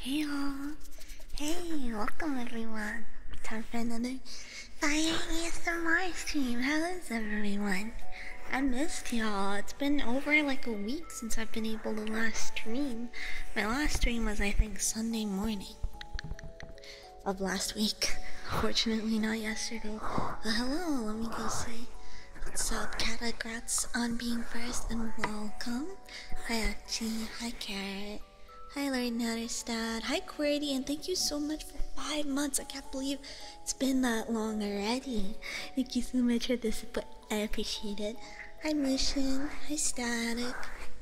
Hey you all! Hey, welcome everyone! time for another 5 ASMR stream. How is everyone? I missed y'all. It's been over like a week since I've been able to last stream. My last stream was I think Sunday morning of last week. Fortunately not yesterday. But hello, let me go say what's up. Kata, on being first and welcome. Hi, Achi. Hi, Carrot. Hi, Larry Natterstad. Hi, Querty, and thank you so much for five months. I can't believe it's been that long already. Thank you so much for the support. I appreciate it. Hi, Mission. Hi, Static.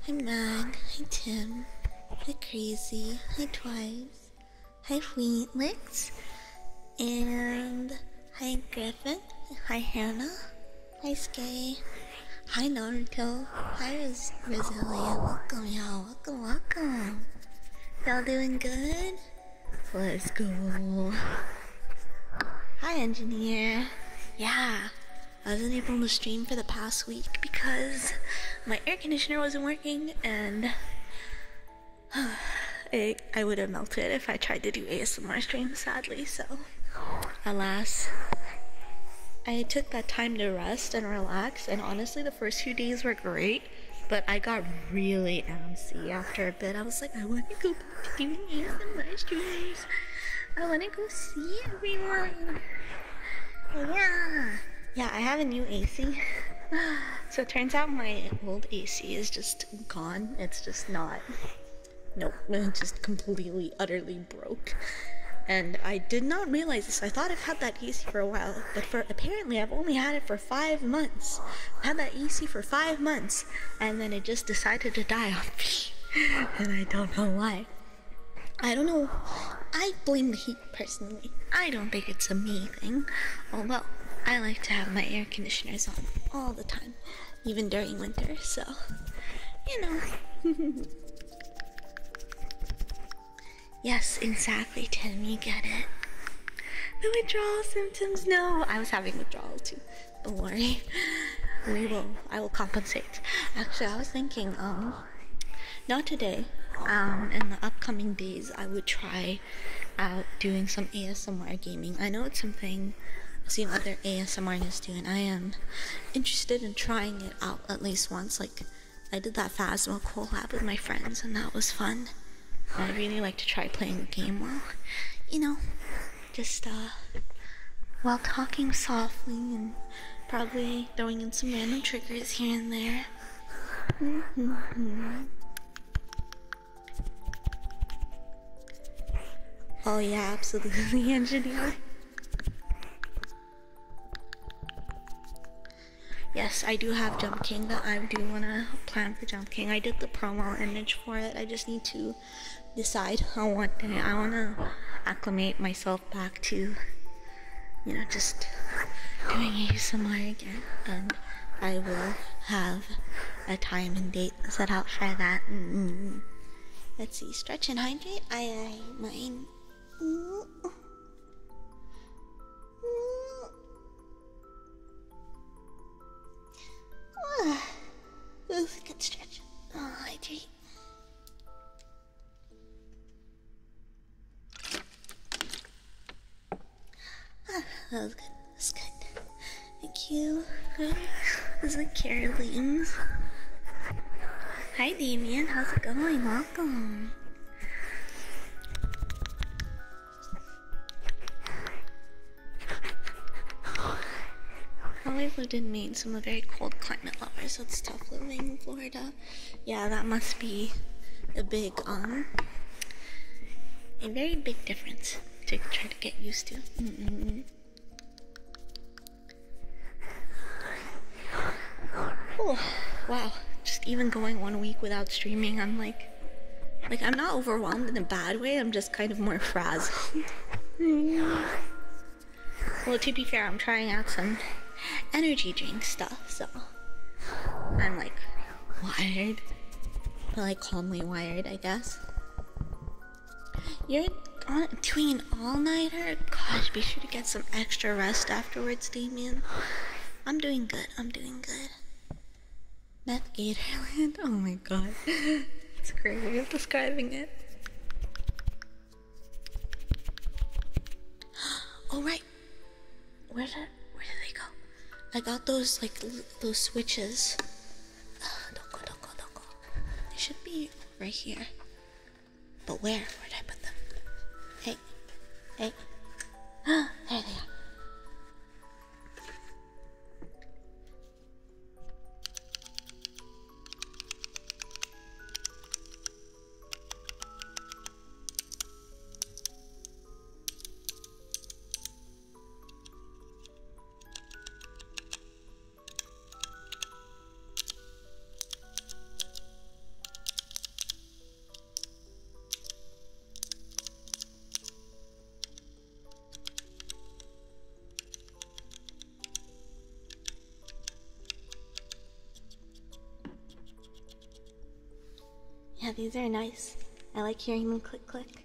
Hi, Mag. Hi, Tim. Hi, Crazy. Hi, Twice. Hi, Wheatlix. And hi, Griffin. Hi, Hannah. Hi, Skye. Hi, Naruto. Hi, Res Welcome, y'all. Welcome, welcome. Y'all doing good? Let's go. Hi, engineer. Yeah, I wasn't able to stream for the past week because my air conditioner wasn't working and. it I, would have melted if I tried to do ASMR streams, sadly. So, alas, I took that time to rest and relax. And honestly, the first few days were great, but I got really antsy after a bit. I was like, I want to go back to doing ASMR streams. I want to go see everyone. Yeah. Yeah, I have a new AC. So it turns out my old AC is just gone. It's just not Nope, just completely, utterly broke. And I did not realize this. I thought I've had that easy for a while, but for apparently I've only had it for five months. had that easy for five months, and then it just decided to die on and I don't know why. I don't know. I blame the heat personally. I don't think it's a me thing, although I like to have my air conditioners on all the time even during winter, so you know. yes, exactly, Tim, you get it. The withdrawal symptoms, no. I was having withdrawal too. Don't worry. We will I will compensate. Actually I was thinking, um not today. Um, in the upcoming days I would try out doing some ASMR ASMR gaming. I know it's something I've seen other ASMR artists do, and I am interested in trying it out at least once. Like, I did that Phasma collab with my friends, and that was fun. And I really like to try playing a game while, you know, just uh, while talking softly and probably throwing in some random triggers here and there. Mm-hmm. Oh yeah, absolutely, engineer. Yes, I do have Jump King, that I do want to plan for Jump King. I did the promo image for it. I just need to decide how I want it. I want to acclimate myself back to, you know, just doing ASMR again. And I will have a time and date hydrate, set out for that. Mm -hmm. Let's see, stretch and hydrate. I, I mine. Mm -hmm. Ah, oof, good stretch. Oh, hydrate. Ah, that was good. That's good. Thank you. This is like Caroline. Hi, Damian. How's it going? Welcome. Well, I lived in Maine, so I'm a very cold climate lover, so it's tough living in Florida. Yeah, that must be a big, um, a very big difference to try to get used to. Oh, wow. Just even going one week without streaming, I'm like, like I'm not overwhelmed in a bad way. I'm just kind of more frazzled. well, to be fair, I'm trying out some energy drink stuff, so I'm like wired, but like calmly wired, I guess. You're on, doing an all-nighter? Gosh, be sure to get some extra rest afterwards, Damien. I'm doing good, I'm doing good. Meth Gatorland? Oh my god. It's a great way are describing it. All oh, right. Where did where did they go? I got those like those switches doko, doko, doko. They should be right here. But where? Where'd I put them? Hey, hey. there they are. Yeah, these are nice. I like hearing them click click.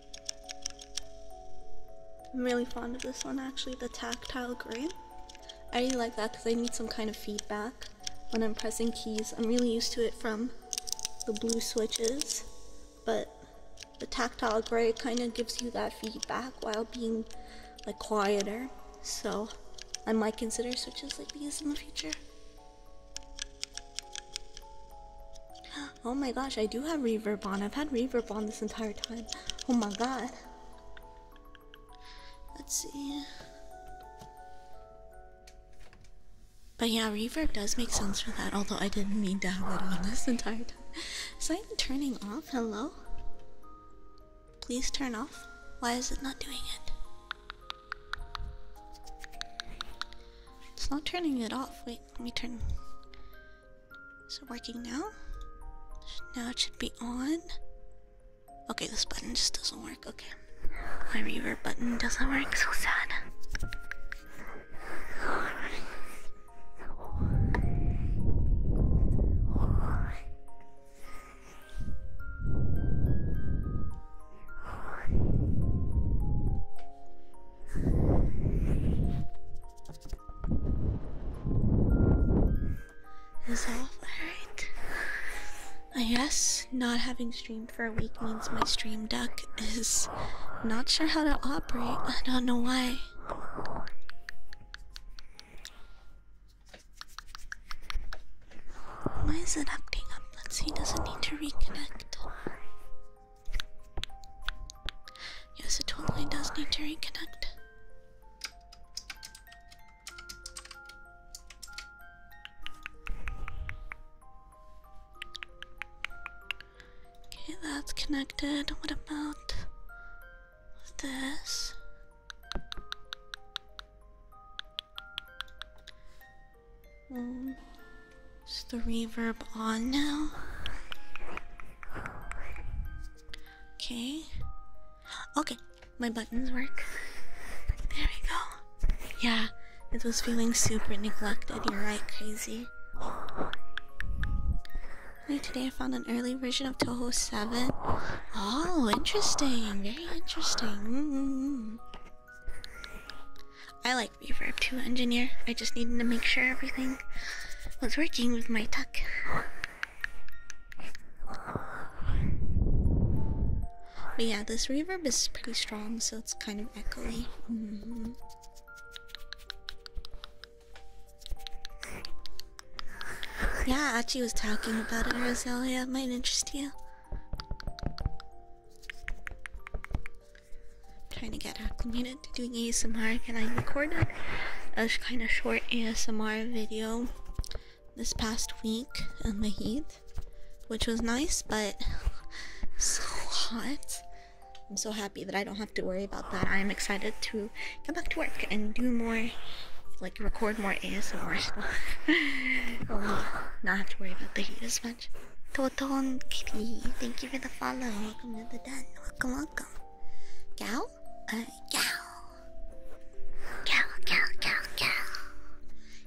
I'm really fond of this one actually, the tactile gray. I really like that because I need some kind of feedback when I'm pressing keys. I'm really used to it from the blue switches, but the tactile gray kind of gives you that feedback while being like quieter. So I might consider switches like these in the future. Oh my gosh, I do have reverb on. I've had reverb on this entire time. Oh my god. Let's see. But yeah, reverb does make sense for that, although I didn't mean to have it on this entire time. Is that even turning off? Hello? Please turn off. Why is it not doing it? It's not turning it off. Wait let me turn. Is it working now? Now it should be on. Okay, this button just doesn't work. Okay. My reverb button doesn't work, so sad. Is alright? I guess not having streamed for a week means my stream deck is not sure how to operate. I don't know why. Why is it acting up? let need to reconnect? Yes, it totally does need to reconnect. Okay, that's connected. What about this? Mm. Is the reverb on now? Okay. Okay, my buttons work. There we go. Yeah, it was feeling super neglected. You're right, crazy. Today I found an early version of Toho 7. Oh, interesting. Very interesting. Mm-hmm. I like reverb to engineer. I just needed to make sure everything was working with my tuck. But yeah, this reverb is pretty strong, so it's kind of echoey. Mm-hmm. Yeah, Achi was talking about it, Rosalia. It might interest you trying to get acclimated to doing ASMR and I recorded a kind of short ASMR video this past week in the heat, which was nice, but so hot. I'm so happy that I don't have to worry about that. I am excited to get back to work and do more, like record more ASMR stuff. um, not have to worry about the heat as much. Photon Kitty, thank you for the follow. Welcome to the den. Welcome, welcome. Cow? Uh, cow. Cow, cow, cow, cow.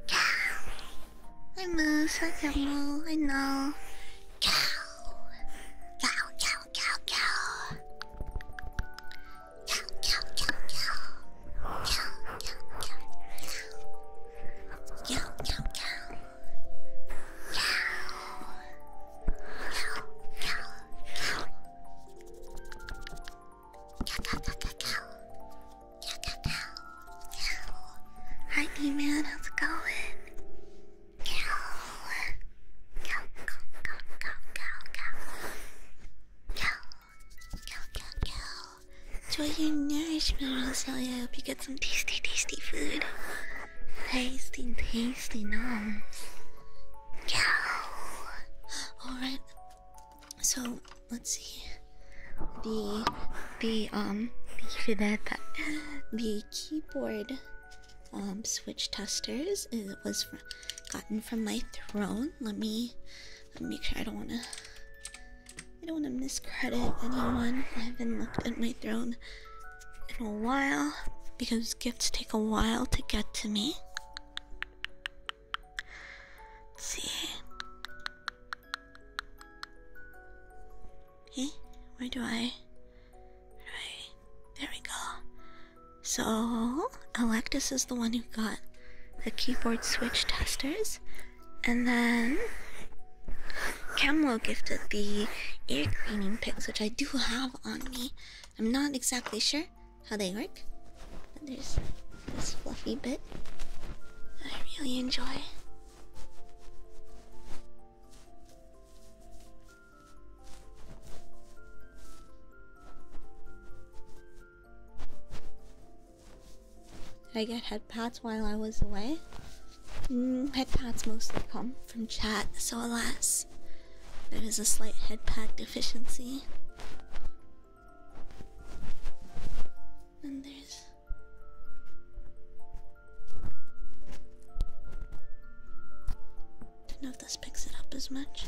Cow. I move, I can move, I know. Cow. Cow, cow, cow, cow. Cow, cow, cow, cow. Cow, cow, cow, cow. Cow, cow, cow. Hi, man how's it going? Enjoy your nourishment, Sally. I hope you get some tasty, tasty food tasty, tasty noms. Yeah. All right. So let's see. The the um the keyboard um switch testers it was gotten from my throne. Let me let me make sure I don't wanna I don't wanna miscredit anyone. I haven't looked at my throne in a while because gifts take a while to get to me. see. Hey, where do I? Right, there we go. So, Electus is the one who got the keyboard switch testers, and then Camlo gifted the ear cleaning picks, which I do have on me. I'm not exactly sure how they work. But there's this fluffy bit I really enjoy. I get head pats while I was away. Mm, Headpads mostly come from chat, so alas, there is a slight head deficiency. And there's. Don't know if this picks it up as much.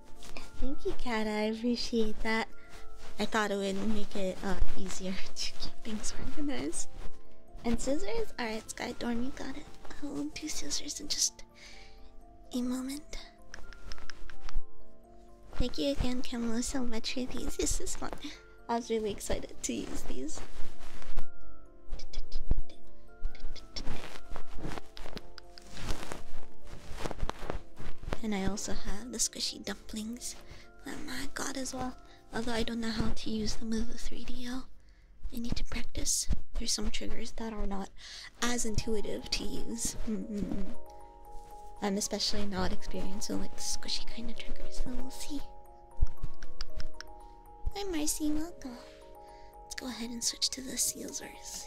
Thank you, Kada. I appreciate that. I thought it would make it uh, easier to keep things organized. And scissors? Alright, Sky Dorm, you got it. I'll do scissors in just a moment. Thank you again, Camilo, so much for these. This is fun. I was really excited to use these. And I also have the squishy dumplings that I got as well. Although I don't know how to use them with the 3 dl I need to practice. There's some triggers that are not as intuitive to use. Mm-hmm. I'm especially not experienced with like squishy kind of triggers, so we'll see. I'm Marcy, welcome. Let's go ahead and switch to the Caesars.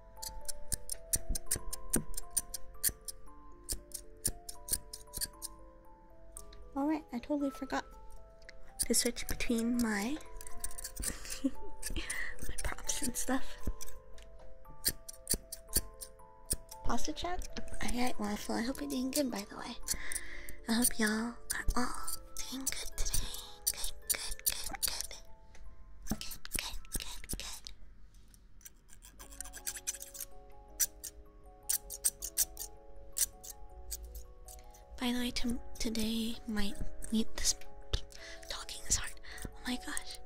Alright, I totally forgot to switch between my my props and stuff. Pasta chat? Alright, wonderful. I hope you're doing good by the way. I hope y'all are all doing good today. good, good, good. Good, good, good, good. By the way, to today might meet this talking is hard. Oh my gosh.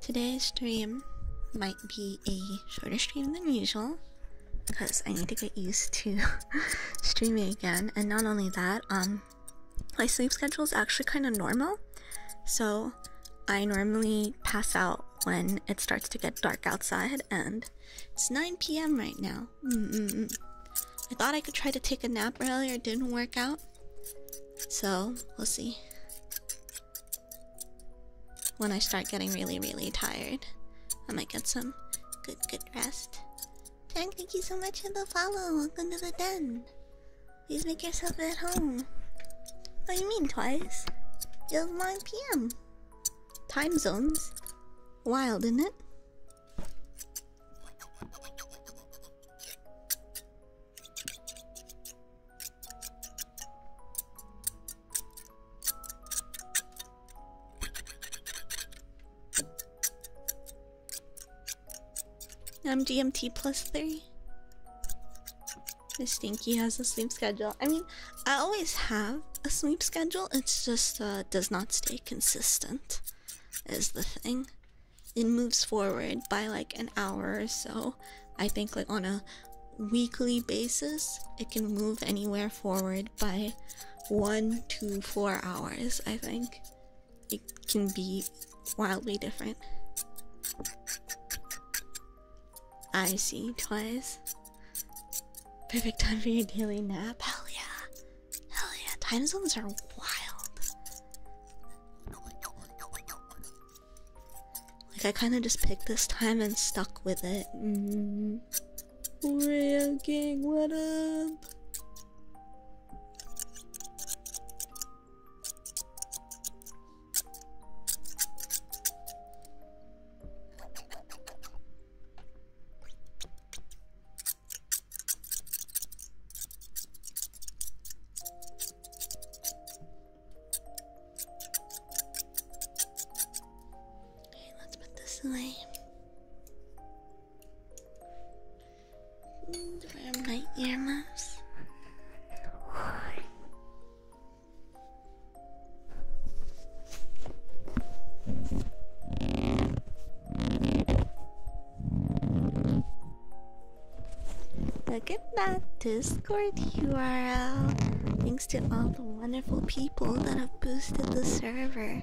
Today's stream might be a shorter stream than usual because I need to get used to streaming again. And not only that, um my sleep schedule is actually kind of normal. So I normally pass out when it starts to get dark outside, and it's 9 p.m. right now. I thought I could try to take a nap earlier, it didn't work out. So we'll see. When I start getting really, really tired, I might get some good, good rest. Thank, thank you so much for the follow. Welcome to the den. Please make yourself at home. What do you mean twice? It's 9 p.m. Time zones. Wild, isn't it? i um, GMT plus three. Miss Stinky has a sleep schedule. I mean, I always have a sleep schedule. It just uh, does not stay consistent, is the thing. It moves forward by like an hour or so. I think like on a weekly basis, it can move anywhere forward by one to four hours. I think it can be wildly different. I see, twice. Perfect time for a daily nap. Hell yeah. Hell yeah. Time zones are wild. Like, I kind of just picked this time and stuck with it. Mm. Real Gang, up? Okay, let's put this away. Where are my earmuffs? Look at that Discord URL. Thanks to all the wonderful people that have boosted the server.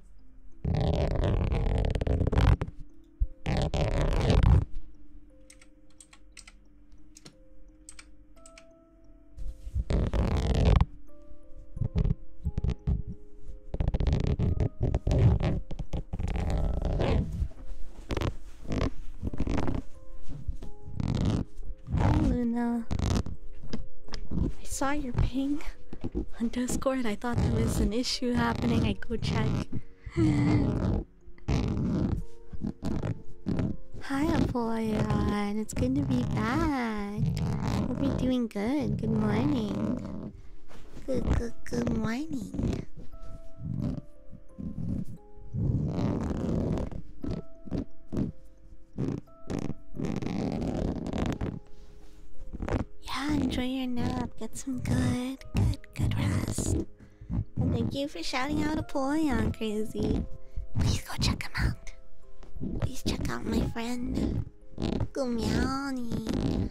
Luna, uh, I saw your ping on Discord. I thought there was an issue happening. I go check. Hi, Apoya. It's good to be back. we are doing good. Good morning. Good, good, good morning. Yeah, enjoy your nap. Get some good, good, good rest. And thank you for shouting out Apollyon, crazy. Please go check him out. Please check out my friend Gumiani.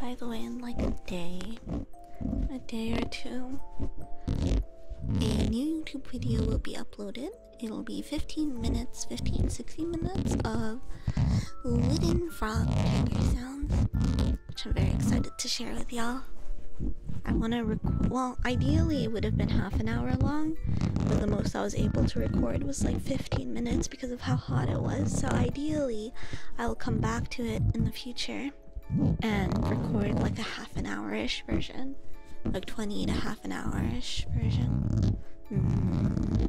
By the way, in like a day, a day or two, a new YouTube video will be uploaded. It'll be 15 minutes, 15, 16 minutes of wooden frog finger sounds which I'm very excited to share with y'all. I want to record. Well, ideally, it would have been half an hour long, but the most I was able to record was like 15 minutes because of how hot it was. So, ideally, I will come back to it in the future and record like a half an hour ish version, like 20 to half an hour ish version. Mm-hmm.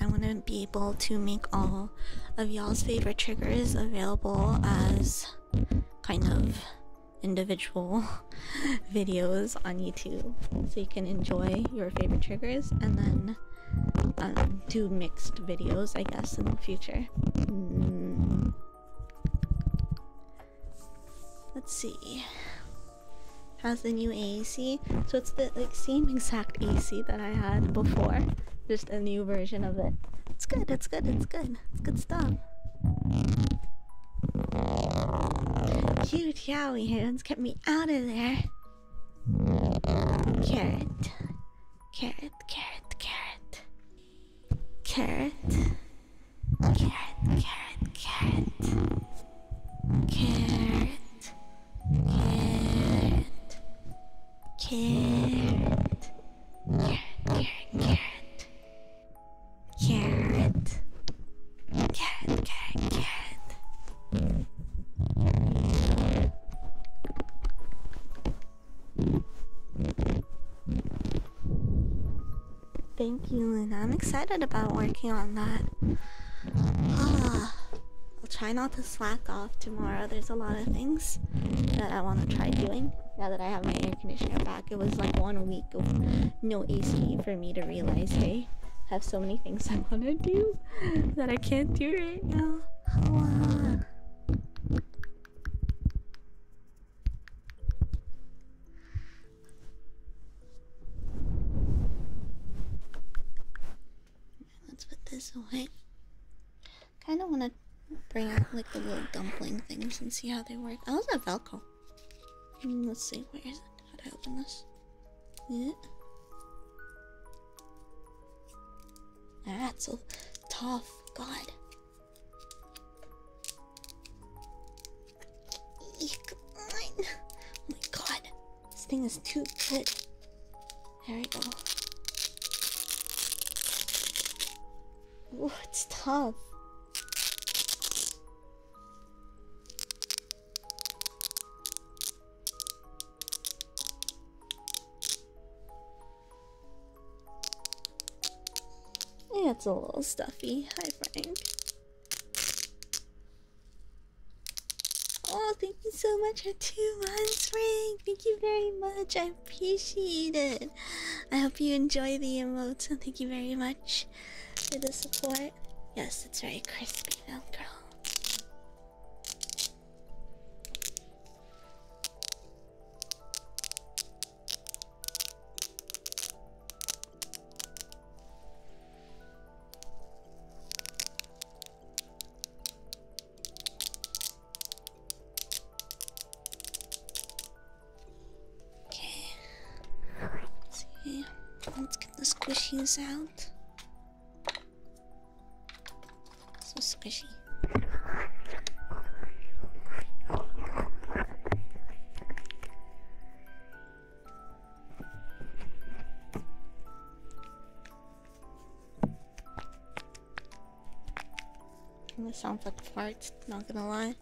I want to be to make all of y'all's favorite triggers available as kind of individual videos on YouTube so you can enjoy your favorite triggers and then um, do mixed videos, I guess, in the future. Hmm. Let's see. Has the new AC? So it's the like, same exact AC that I had before. Just a new version of it. It's good, it's good, it's good. It's good stuff. Cute yowie hands kept me out of there. Carrot. Carrot, carrot, carrot. Carrot. Carrot, carrot, carrot. Carrot. Carrot. Carrot, carrot, carrot, carrot, carrot, carrot, carrot, Thank you, and I'm excited about working on that. Ah, I'll try not to slack off tomorrow. There's a lot of things that I want to try doing. Now that I have my air conditioner back, it was like one week of no AC for me to realize, hey, I have so many things I want to do that I can't do right now. Let's put this away. Kind of want to bring out like the little dumpling things and see how they work. I also have Velcro. Mm, let's see, where is it? How do I open this? Yeah. That's so tough. God. Eek. Oh my god. This thing is too good. There we go. Ooh, it's tough. it's a little stuffy. Hi, Frank. Oh, thank you so much for two months, Frank. Thank you very much appreciate it. I hope you enjoy the emotes thank you very much for the support. Yes, it's very crispy now, girl. Okay. see. Let's get the squishies out. So squishy. This sounds like farts, not gonna lie.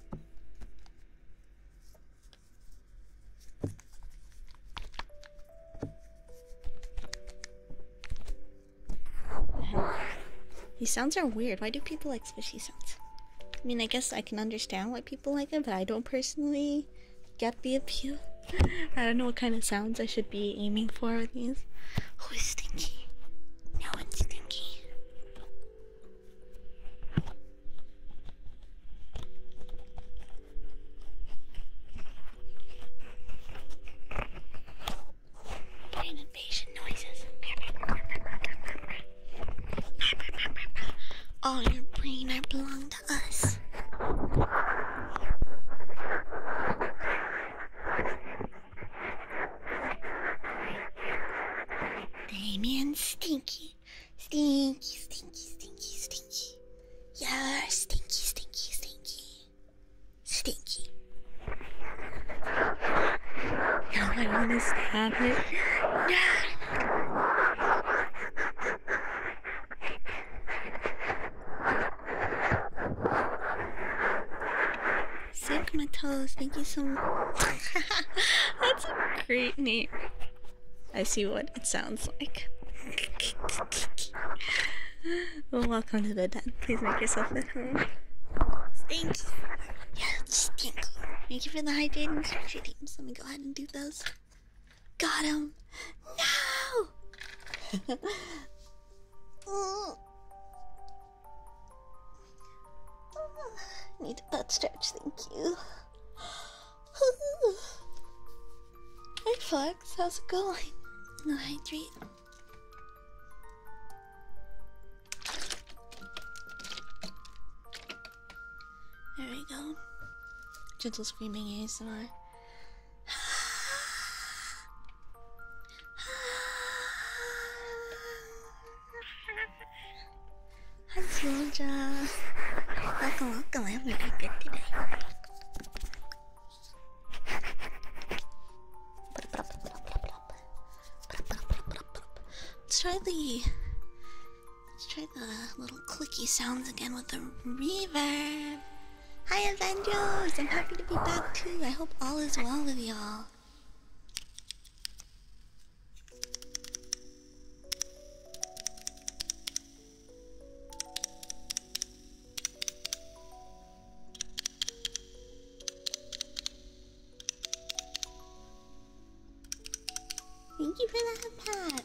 These sounds are weird. Why do people like squishy sounds? I mean, I guess I can understand why people like it, but I don't personally get the appeal. I don't know what kind of sounds I should be aiming for with these. Who is stinky? No one's stinky. Getting noises. All your brain are belong to us. Hey man, stinky, stinky, stinky, stinky, stinky. You're stinky, stinky, stinky, stinky. Now I want to stab it. No. Save my toes, thank you so much. That's a great name. I see what it sounds like. well, welcome to the den. Please make yourself at home. Thank you. Yeah, thank you. Thank you for the hydrating structure teams. Let me go ahead and do those. Got him! No! Mm. need a butt stretch, thank you. Hey Flex, how's it going? No hydrate. There we go. Gentle screaming ASMR. Hi, Georgia. Welcome, welcome. I hope you good today. Let's try the let's try the little clicky sounds again with the reverb. Hi, Avengers! I'm happy to be back too. I hope all is well with y'all. Thank you for the hat.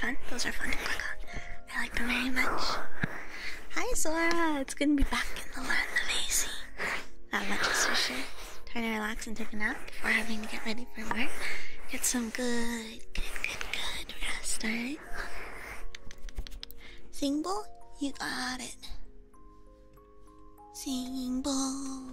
fun? Those are fun to click on. I like them very much. Hi Zora! It's going to be back in the land of AC. Not much is for sure. Trying to relax and take a nap before having to get ready for work. Get some good, good, good, good rest, alright? Sing bowl? You got it. Sing bowl.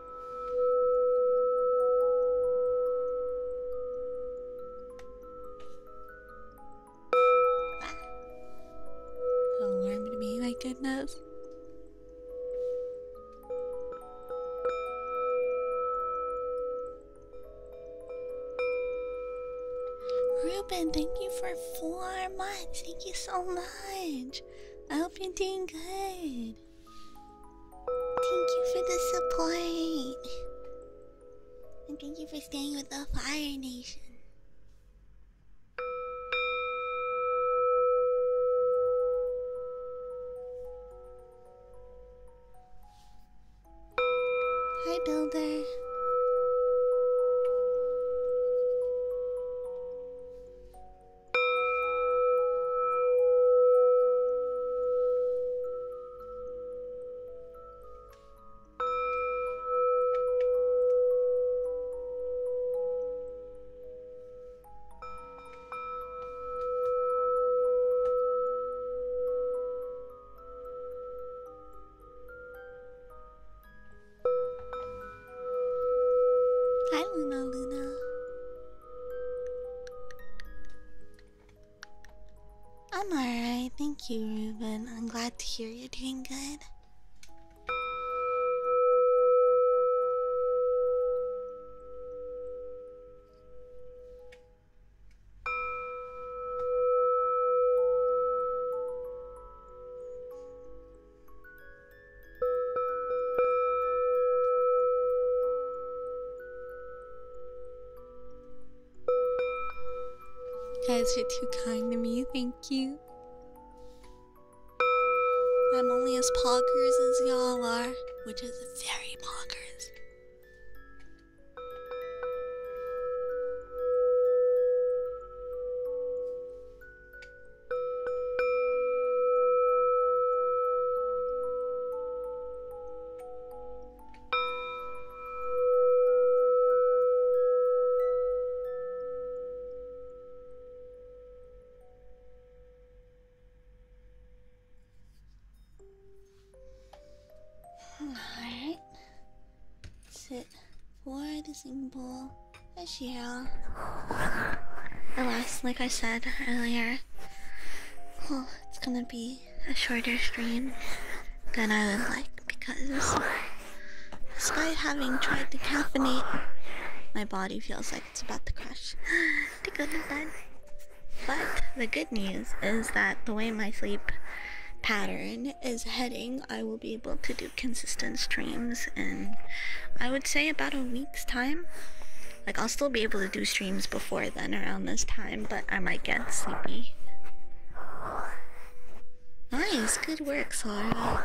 Alarm to me, my goodness. Ruben, thank you for four months. Thank you so much. I hope you're doing good. Thank you for the support. And thank you for staying with the Fire Nation. Hi, Builder. Hi, Luna Luna. I'm alright, thank you, Ruben. I'm glad to hear you're doing good. You are too kind to me, thank you. I'm only as poggers as y'all are, which is very poggers. Alright. Sit for the symbol. This year. Alas, like I said earlier, it's gonna be a shorter stream than I would like because despite having tried to caffeinate, my body feels like it's about to crash to go to bed. But the good news is that the way my sleep pattern is heading, I will be able to do consistent streams in I would say about a week's time. Like, I'll still be able to do streams before then around this time, but I might get sleepy. Nice, good work, Sora.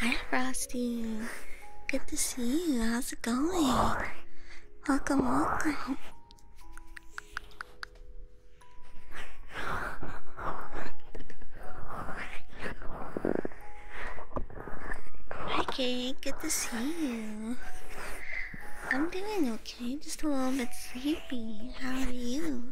Hi, Frosty. Good to see you. How's it going? Welcome, welcome. Hi, Kate. Good to see you. I'm doing okay. Just a little bit sleepy. How are you?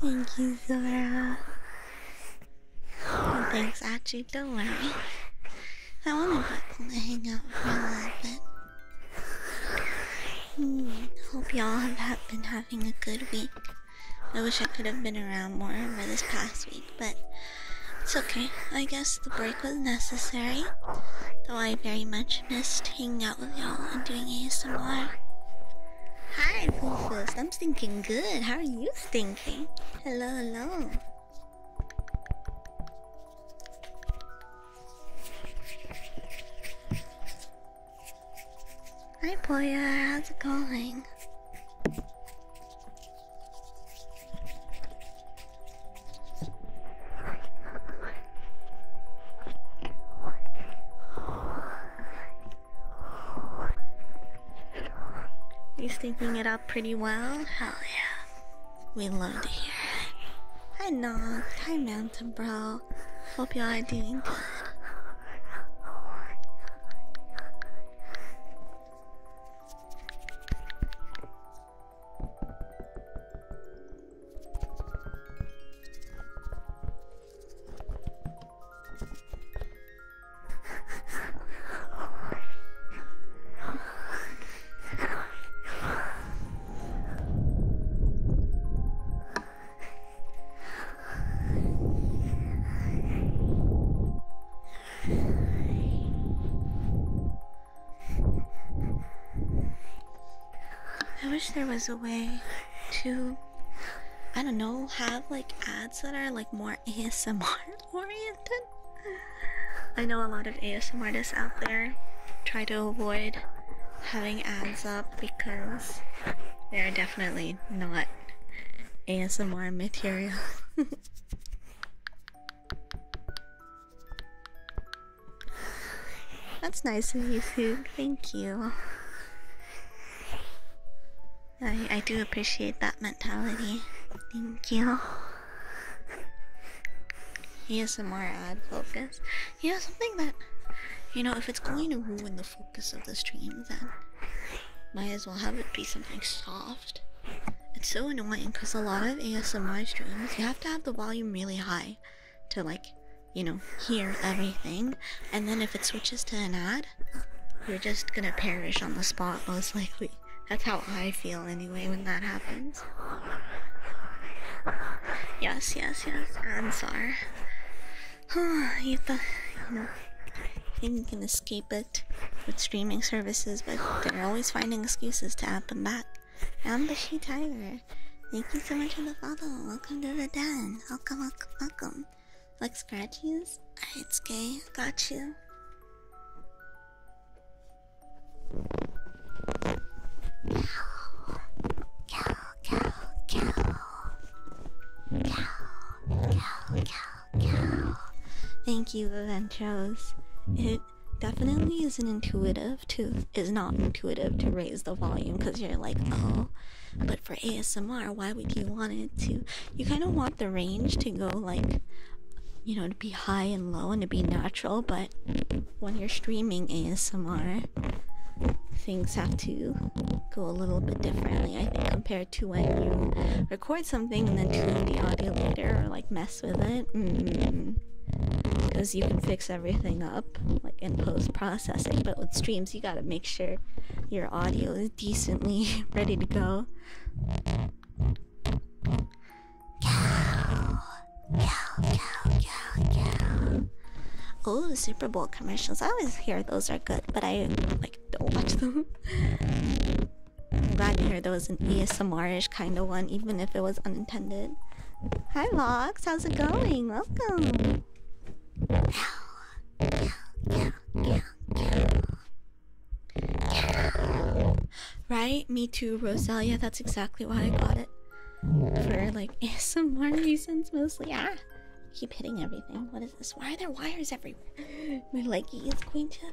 Thank you, Zora. Oh, thanks, Achi. Don't worry. I wanted people to hang out for a little bit. Hope y'all have been having a good week. I wish I could have been around more over this past week, but it's okay. I guess the break was necessary. Though I very much missed hanging out out with y'all and doing Hi, Poofus. I'm thinking good. How are you thinking? Hello, hello. Hi, Poya. How's it going? He's thinking it up pretty well. Hell yeah. We love to hear it. Hi Nog. Hi Mountain Bro. Hope y'all are doing good. I wish there was a way to I don't know, have like ads that are like more ASMR oriented. I know a lot of ASMR artists out there try to avoid having ads up because they're definitely not ASMR material. That's nice of you, Foog. Thank you. I I do appreciate that mentality. Thank you. He has some more ad focus. Yeah, something that you know, if it's going to ruin the focus of the stream, then might as well have it be something soft. It's so annoying because a lot of ASMR streams, you have to have the volume really high to like you know hear everything and then if it switches to an ad you're just gonna perish on the spot most likely that's how i feel anyway when that happens yes yes yes ansar you thought you know you can escape it with streaming services but they're always finding excuses to add them back i'm the she tiger Thank you so much for the follow. Welcome to the den. Welcome, welcome, welcome. Like scratches? it's gay. Got you. Cow, cow, cow, cow. Cow, cow, cow, cow. Thank you, Ventros. It definitely is an intuitive Tooth is not intuitive to raise the volume because you're like, oh, but for ASMR, why would you want it to? You kind of want the range to go like, you know, to be high and low and to be natural, but when you're streaming ASMR, things have to go a little bit differently, I think, compared to when you record something and then tune the audio later or like mess with it. because mm-hmm. you can fix everything up like in post pro but with streams, you gotta make sure your audio is decently ready to go. Oh, Super Bowl commercials. I always hear those are good, but I like don't watch them. I'm glad you heard there was an ASMR-ish kind of one, even if it was unintended. Hi, Vox. How's it going? Welcome. Right? Me too, Rosalia. That's exactly why I got it. For like some more reasons mostly. yeah. Keep hitting everything. What is this? Why are there wires everywhere? My leggy is going to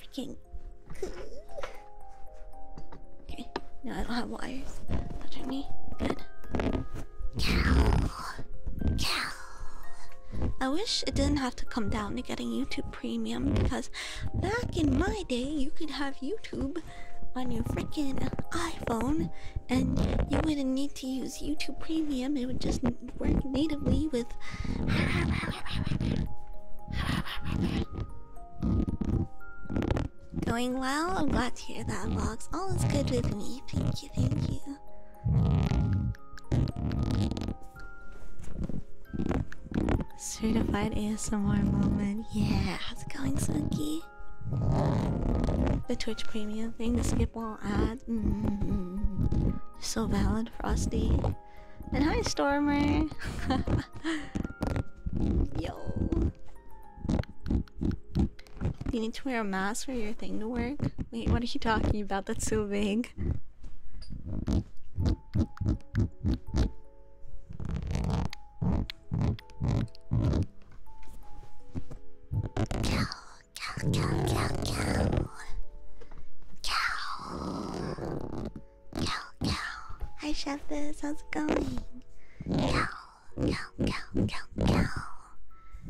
freaking Okay, now I don't have wires touching me. Good. Cow. Cow. I wish it didn't have to come down to getting YouTube Premium because back in my day, you could have YouTube on your freaking iPhone and you wouldn't need to use YouTube Premium, it would just work natively with. Going well? I'm glad to hear that, Vlogs. All is good with me. Thank you, thank you. Certified ASMR moment. Yeah, how's it going, Smokey? The Twitch premium thing, the skip all ads. Mm -hmm. So valid, Frosty. And hi, Stormer. Yo. You need to wear a mask for your thing to work? Wait, what are you talking about? That's so vague. Cow, cow, cow, cow, cow. Cow. Cow, cow. Hi, Chef. How's it going? Cow. Go, go, go, go, go.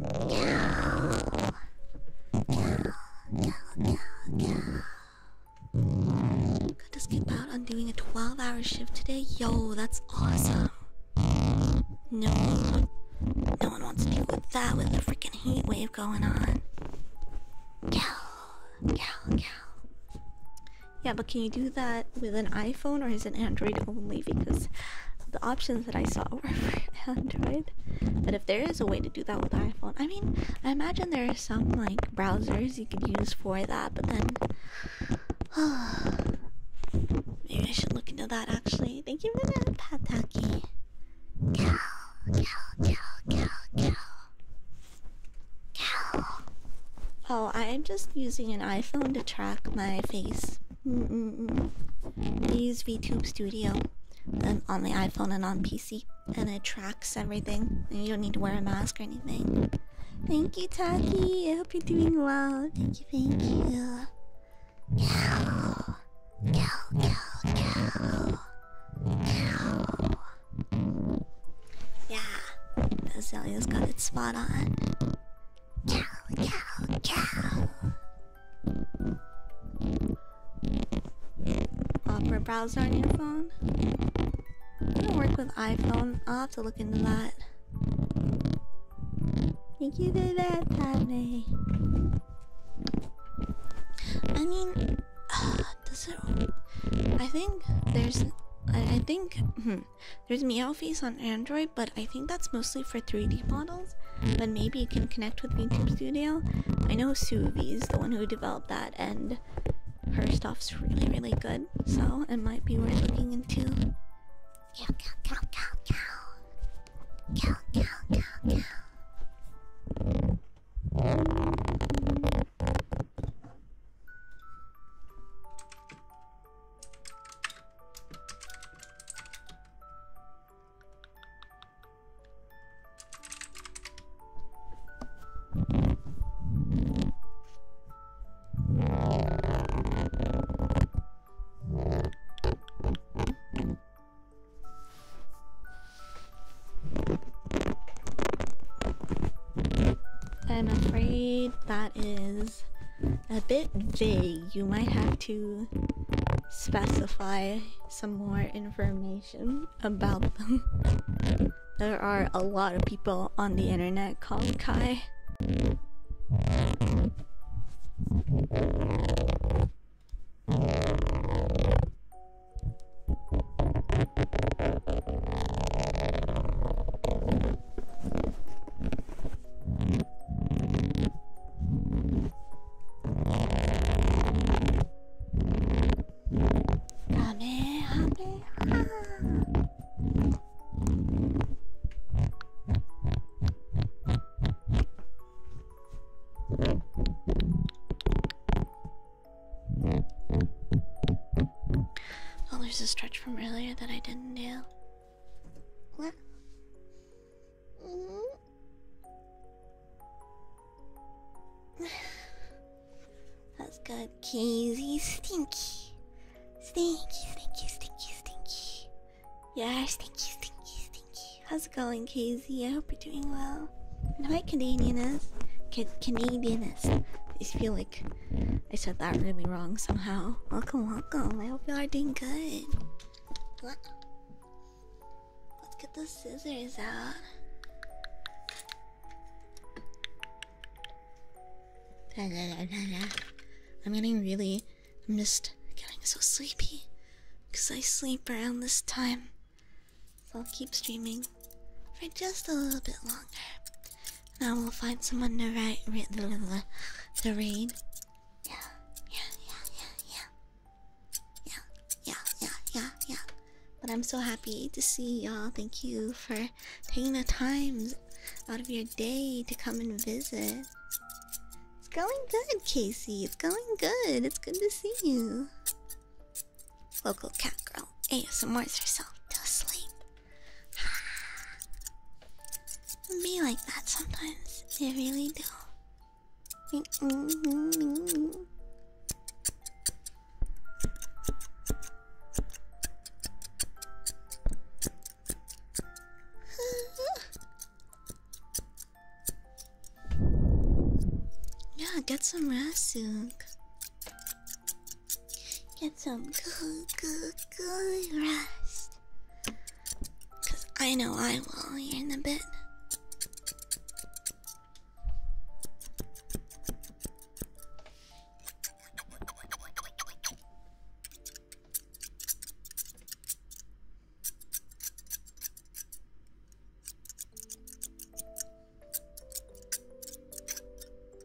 Go, go, go, go. Got to skip out on doing a 12 hour shift today. Yo, that's awesome. No one, no one wants to deal with that with the freaking heat wave going on. Go, go, go. Yeah, but can you do that with an iPhone or is it Android only? Because the options that I saw were for Android. But if there is a way to do that with iPhone, I mean, I imagine there are some like browsers you could use for that, but then maybe I should look into that actually. Thank you for that, Pataki. Cow, cow, cow, cow, cow. Cow. Oh, I'm just using an iPhone to track my face. Mm -mm I use VTube Studio um, on my iPhone and on PC, and it tracks everything. And you don't need to wear a mask or anything. Thank you, Taki. I hope you're doing well. Thank you, thank you. Yeah, Azalea's got it spot on. Opera browser on your phone? I do work with iPhone. I'll have to look into that. Thank you for that, Padme. I mean, does it? I think there's. I, I think. Hmm there's Meowface on Android, but I think that's mostly for 3D models. But maybe you can connect with YouTube Studio. I know Suvi is the one who developed that, and her stuff's really, really good. So it might be worth looking into. I'm afraid that is a bit vague. You might have to specify some more information about them. there are a lot of people on the internet called Kai. Oh, there's a stretch from earlier that I didn't do. What? Mm -hmm. That's good, keys. He's stinky. Stinky, stinky, stinky, stinky. Yeah, stinky, stinky, stinky. How's it going, Casey? I hope you're doing well. And my Canadianist, Can Canadianist is feeling I said that really wrong somehow. Welcome, welcome. I hope you are doing good. Let's get the scissors out. I'm getting really. I'm just getting so sleepy because I sleep around this time. So I'll keep streaming for just a little bit longer. Now we'll find someone to write read the read. The read. Yeah, yeah, yeah, yeah, yeah, yeah, yeah, yeah, yeah, yeah. But I'm so happy to see y'all. Thank you for taking the time out of your day to come and visit. It's going good, Casey. It's going good. It's good to see you. Local cat girl ASMRs herself to sleep. Be like that sometimes. I really do. yeah, get some rest soon. Get some good, good, good rest. Cause I know I will here in a bit.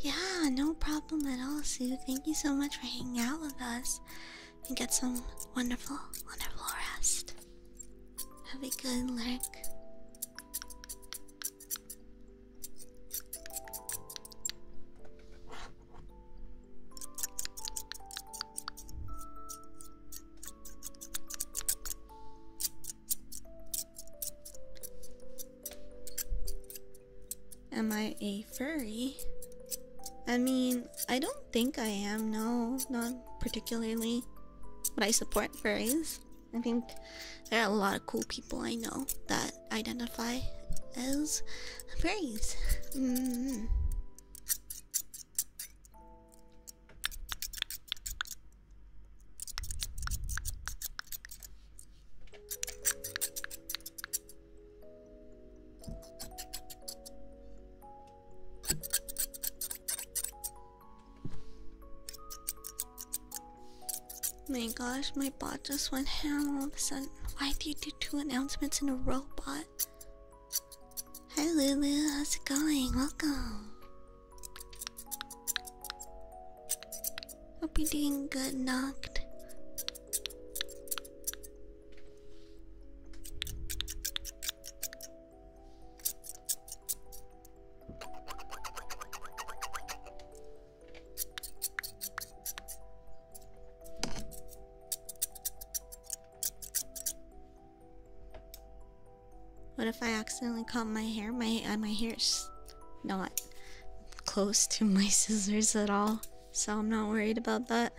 Yeah, no problem at all, Sue. Thank you so much for hanging out with us and get some wonderful, wonderful rest. Have a good night. Am I a furry? I mean, I don't think I am, no, not particularly. But I support furries. I think there are a lot of cool people I know that identify as furries. Mm-hmm my gosh, my bot just went ham all of a sudden. Why did you do two announcements in a row, bot? Hi Lulu, how's it going? Welcome. I'll be doing good, Knocked. What if I accidentally cut my hair? My uh, my hair's not close to my scissors at all, so I'm not worried about that.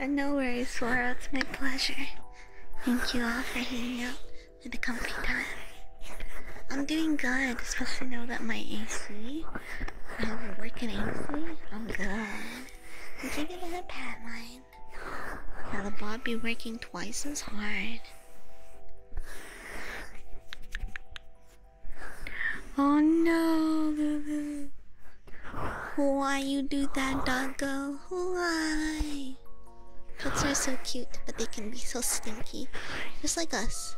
And no worries, Sora, it's my pleasure. Thank you all for hanging out with the comfy time. I'm doing good. especially now that my AC, I have a working AC. I'm good. I'm thinking of the pad Now the bot be working twice as hard. Oh no! Why you do that, doggo? Why? Pets are so cute, but they can be so stinky, just like us.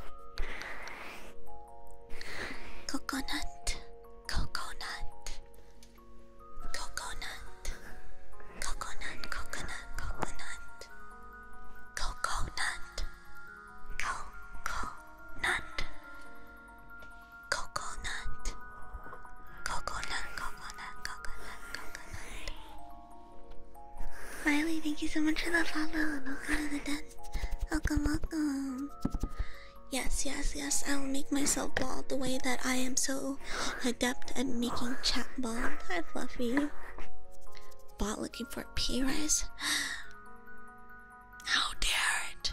Coconut, coconut, coconut, coconut, coconut, coconut, coconut, Coconut. Coconut. Coconut, coconut, coconut, coconut. Miley, thank you so much for the follow. Welcome to the dance. Welcome, welcome. Yes, yes, yes. I will make myself bald the way that I am so adept at making chat bald. I love Bot looking for appearance. How dare it!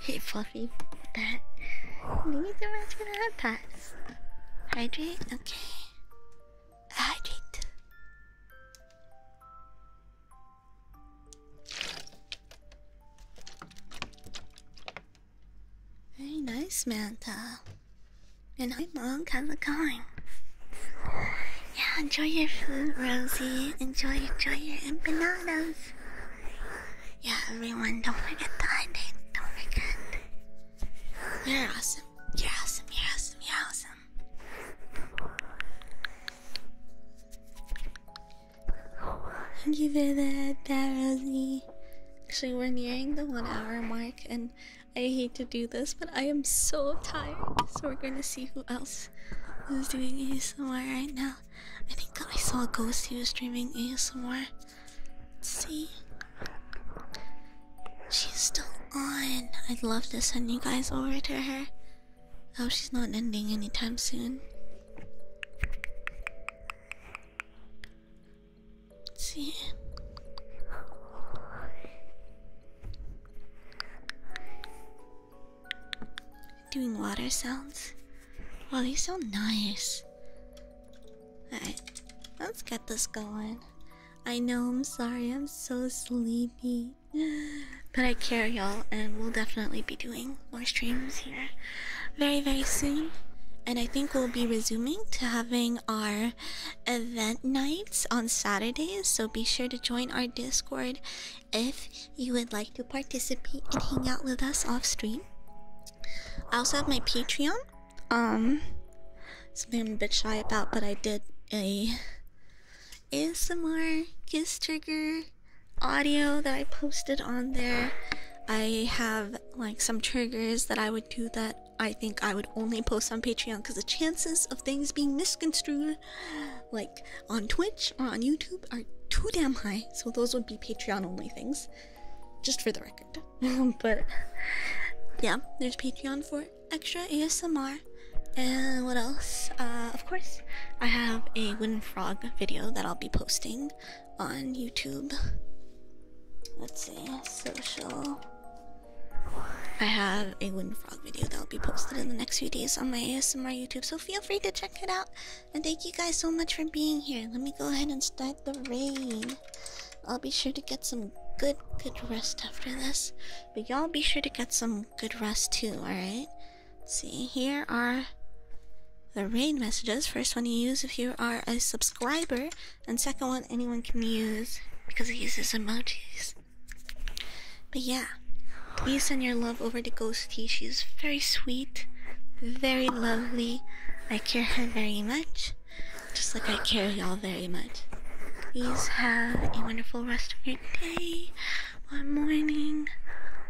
Hey Fluffy, that. Thank you so much for the hot pass. Hydrate? Okay. Hydrate. Very nice, Manta. And hi, Monk. How's it going? Yeah, enjoy your food, Rosie. Enjoy, enjoy your empanadas. Yeah, everyone, don't forget the high Don't forget. You're awesome. You're awesome. You're awesome. You're awesome. Thank you for that, that Rosie. Actually, we're nearing the one hour mark, and I hate to do this, but I am so tired. So, we're going to see who else is doing ASMR right now. I think I saw a ghost He was streaming ASMR. Let's see. She's still on. I'd love to send you guys over to her. Oh, she's not ending anytime soon. see. Doing water sounds. Wow, these sound nice. Alright, let's get this going. I know, I'm sorry, I'm so sleepy. But I care, y'all, and we'll definitely be doing more streams here very, very soon. And I think we'll be resuming to having our event nights on Saturdays, so be sure to join our Discord if you would like to participate and hang out with us off stream. I also have my Patreon. Um something I'm a bit shy about, but I did a ASMR kiss trigger audio that I posted on there. I have like some triggers that I would do that I think I would only post on Patreon because the chances of things being misconstrued like on Twitch or on YouTube are too damn high, so those would be Patreon only things, just for the record. but yeah, there's Patreon for extra ASMR. And what else? Uh, of course, I have a wind Frog video that I'll be posting on YouTube. Let's see, social. I have a wind Frog video that will be posted in the next few days on my ASMR YouTube So feel free to check it out. And thank you guys so much for being here. Let me go ahead and start the rain. I'll be sure to get some good, good rest after this. But y'all be sure to get some good rest too, alright? See, here are the rain messages. First one you use if you are a subscriber, and second one anyone can use because it uses emojis. But yeah, please send your love over to Ghosty. She's very sweet, very lovely. I care her very much, just like I care y'all very much. Please have a wonderful rest of your day, or morning,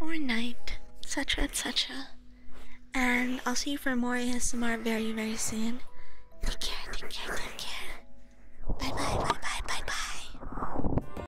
or night, etc. etc. And I'll see you for more ASMR very, very soon. Take care, take care, take care. Bye bye, bye bye, bye bye.